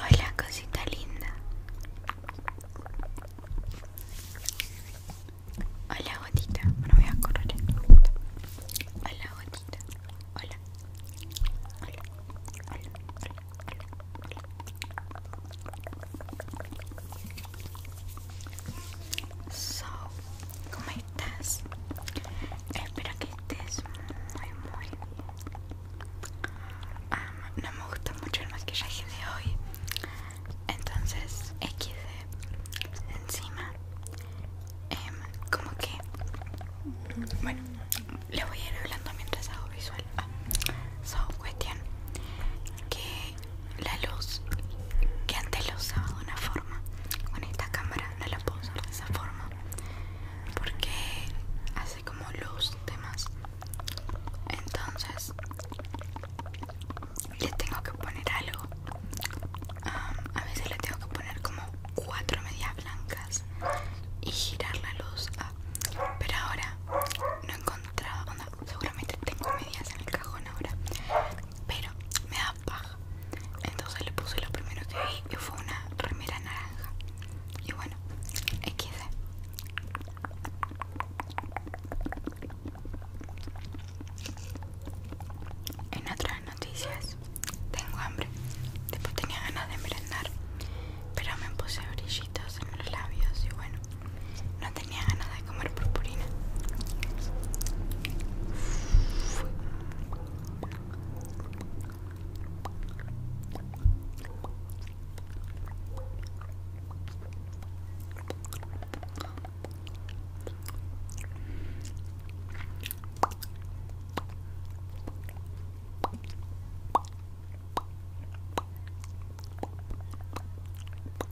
Hola, cosita linda. Hola, gotita. No voy a correr. Hola, gotita. Hola. Hola. Hola. Hola. Hola. So ¿Cómo estás? Espero que estés muy muy bien. no me gusta mucho el maquillaje de hoy. Entonces X encima. Em, como que... Bueno, le voy a ir hablando mientras hago visual. Ah, so, cuestión que la luz que antes lo usaba una forma con esta cámara no la puedo usar de esa forma porque hace como luz demás entonces le tengo que poner algo a veces le tengo que poner como cuatro medias blancas y girar la luz pero ahora no he encontrado seguramente tengo medias en el cajón ahora pero me da paja. Entonces le puse lo primero que vi y fue una remera naranja. Y bueno, XD. En otras noticias, tengo hambre. Después tenía ganas de merendar, pero me puse brillitos en los labios y bueno, no tenía ganas de comer purpurina.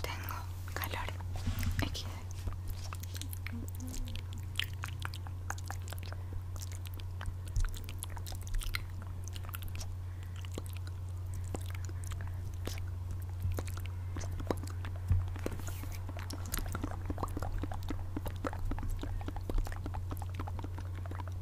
Tengo calor. Aquí.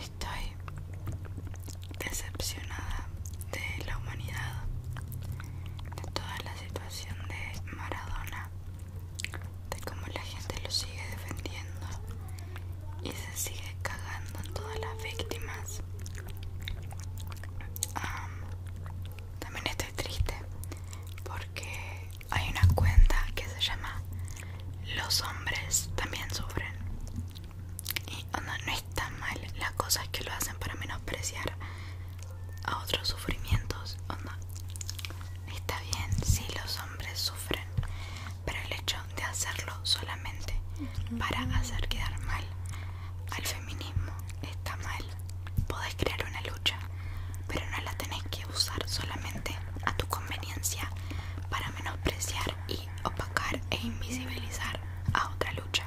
estoy decepcionada de la humanidad de toda la situación de Maradona, de cómo la gente lo sigue defendiendo y se sigue cagando en todas las víctimas. también estoy triste porque hay una cuenta que se llama Los hombres también sufren. Y no está mal las cosas que lo hacen para menospreciar a otros sufrimientos. no está bien si los hombres sufren, pero el hecho de hacerlo solamente para hacer quedar mal al feminismo está mal. Podés crear una lucha, pero no la tenés que usar solamente a tu conveniencia para menospreciar y opacar e invisibilizar a otra lucha.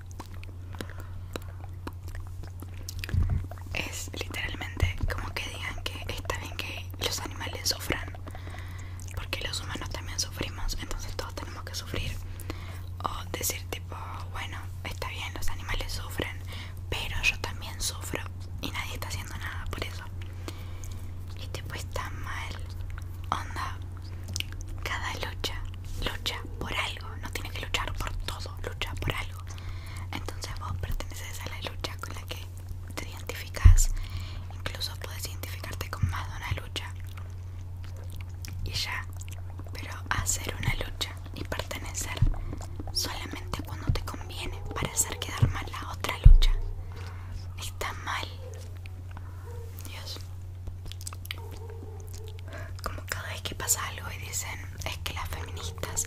Es literalmente como que digan que está bien que los animales sufran, porque los humanos también sufrimos, entonces todos tenemos que sufrir. O decir tipo, bueno, está bien, los animales sufren, pero yo también sufro y nadie está haciendo nada por eso. Y tipo está mal. Onda, cada lucha, lucha por algo. No tiene que luchar por todo, lucha por algo. Entonces vos perteneces a la lucha con la que te identificas. Incluso puedes identificarte con más de una lucha. Y ya. Pero hacer una lucha y pertenecer solamente cuando te conviene para hacer quedar mal la otra lucha. Está mal. Dios. Como cada vez que pasa algo y dicen, es que las feministas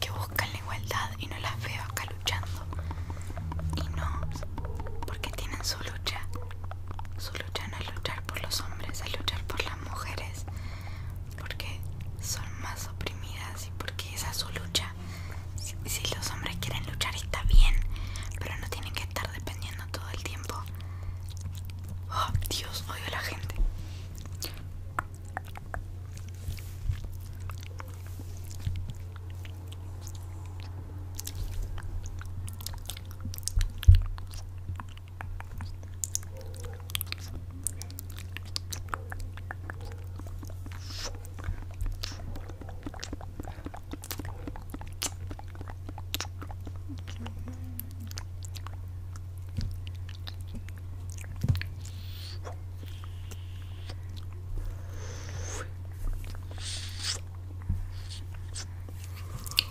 que buscan la igualdad y no las veo acá luchando. Y no, porque tienen su lucha. Su lucha no es luchar por los hombres, es luchar por las mujeres. Porque son más oprimidas y porque esa es su lucha. Si, los hombres quieren luchar está bien, pero no tienen que estar dependiendo todo el tiempo. Oh, Dios, odio a la gente.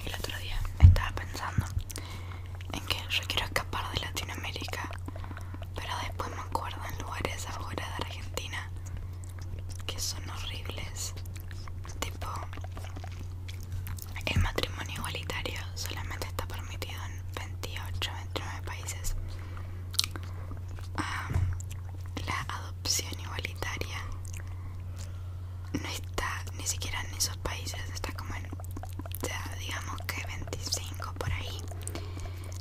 El otro día estaba pensando en que yo quiero escapar de Latinoamérica, pero después me acuerdo en lugares afuera de Argentina que son horribles tipo el matrimonio igualitario solamente está permitido en 28 29 países la adopción igualitaria no está ni siquiera en esos países está como en ya digamos que 25 por ahí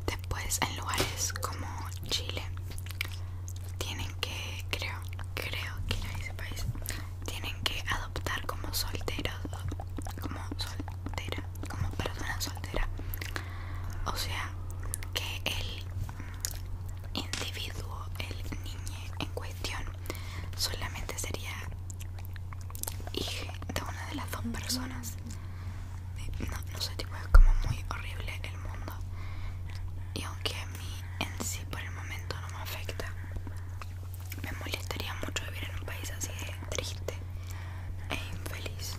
Después en lugares como Chile tienen que, creo, creo que era ese país, tienen que adoptar como solteros, como soltera, como persona soltera. O sea, que el individuo, el niño en cuestión, solamente sería hijo de una de las dos personas no, no sé, tipo es como muy horrible el mundo. Y aunque a mí en sí por el momento no me afecta, me molestaría mucho vivir en un país así de triste e infeliz.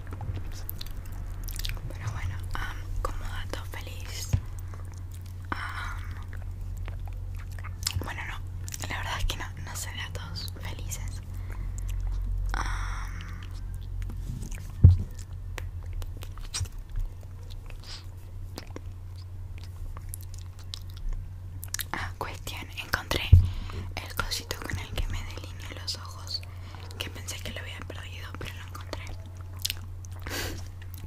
Pero bueno, como dato feliz. bueno, no, la verdad es que no, no sé datos felices. Ah, cuestión, encontré el cosito con el que me delineo los ojos que pensé que lo había perdido, pero lo encontré.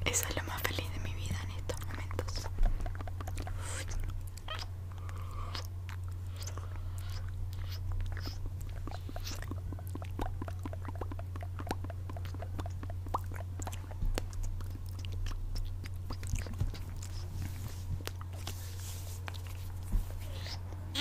Eso es lo más feliz de mi vida en estos momentos.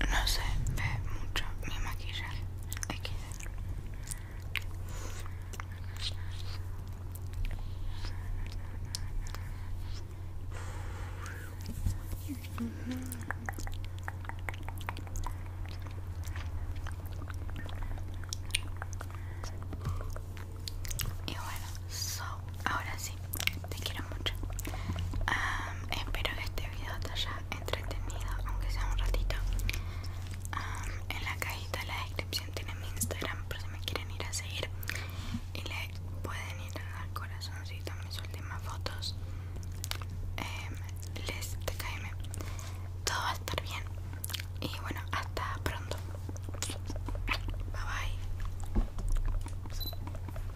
No se ve mucho mi maquillaje. Aquí. Y bueno, ahora sí, te quiero mucho. espero que este video te haya entretenido, aunque sea un ratito. en la cajita de la descripción tiene mi Instagram por si me quieren ir a seguir. Y le pueden ir al corazoncito mis últimas fotos. Em, les caeme. Todo va a estar bien. Y bueno, hasta pronto. Bye bye.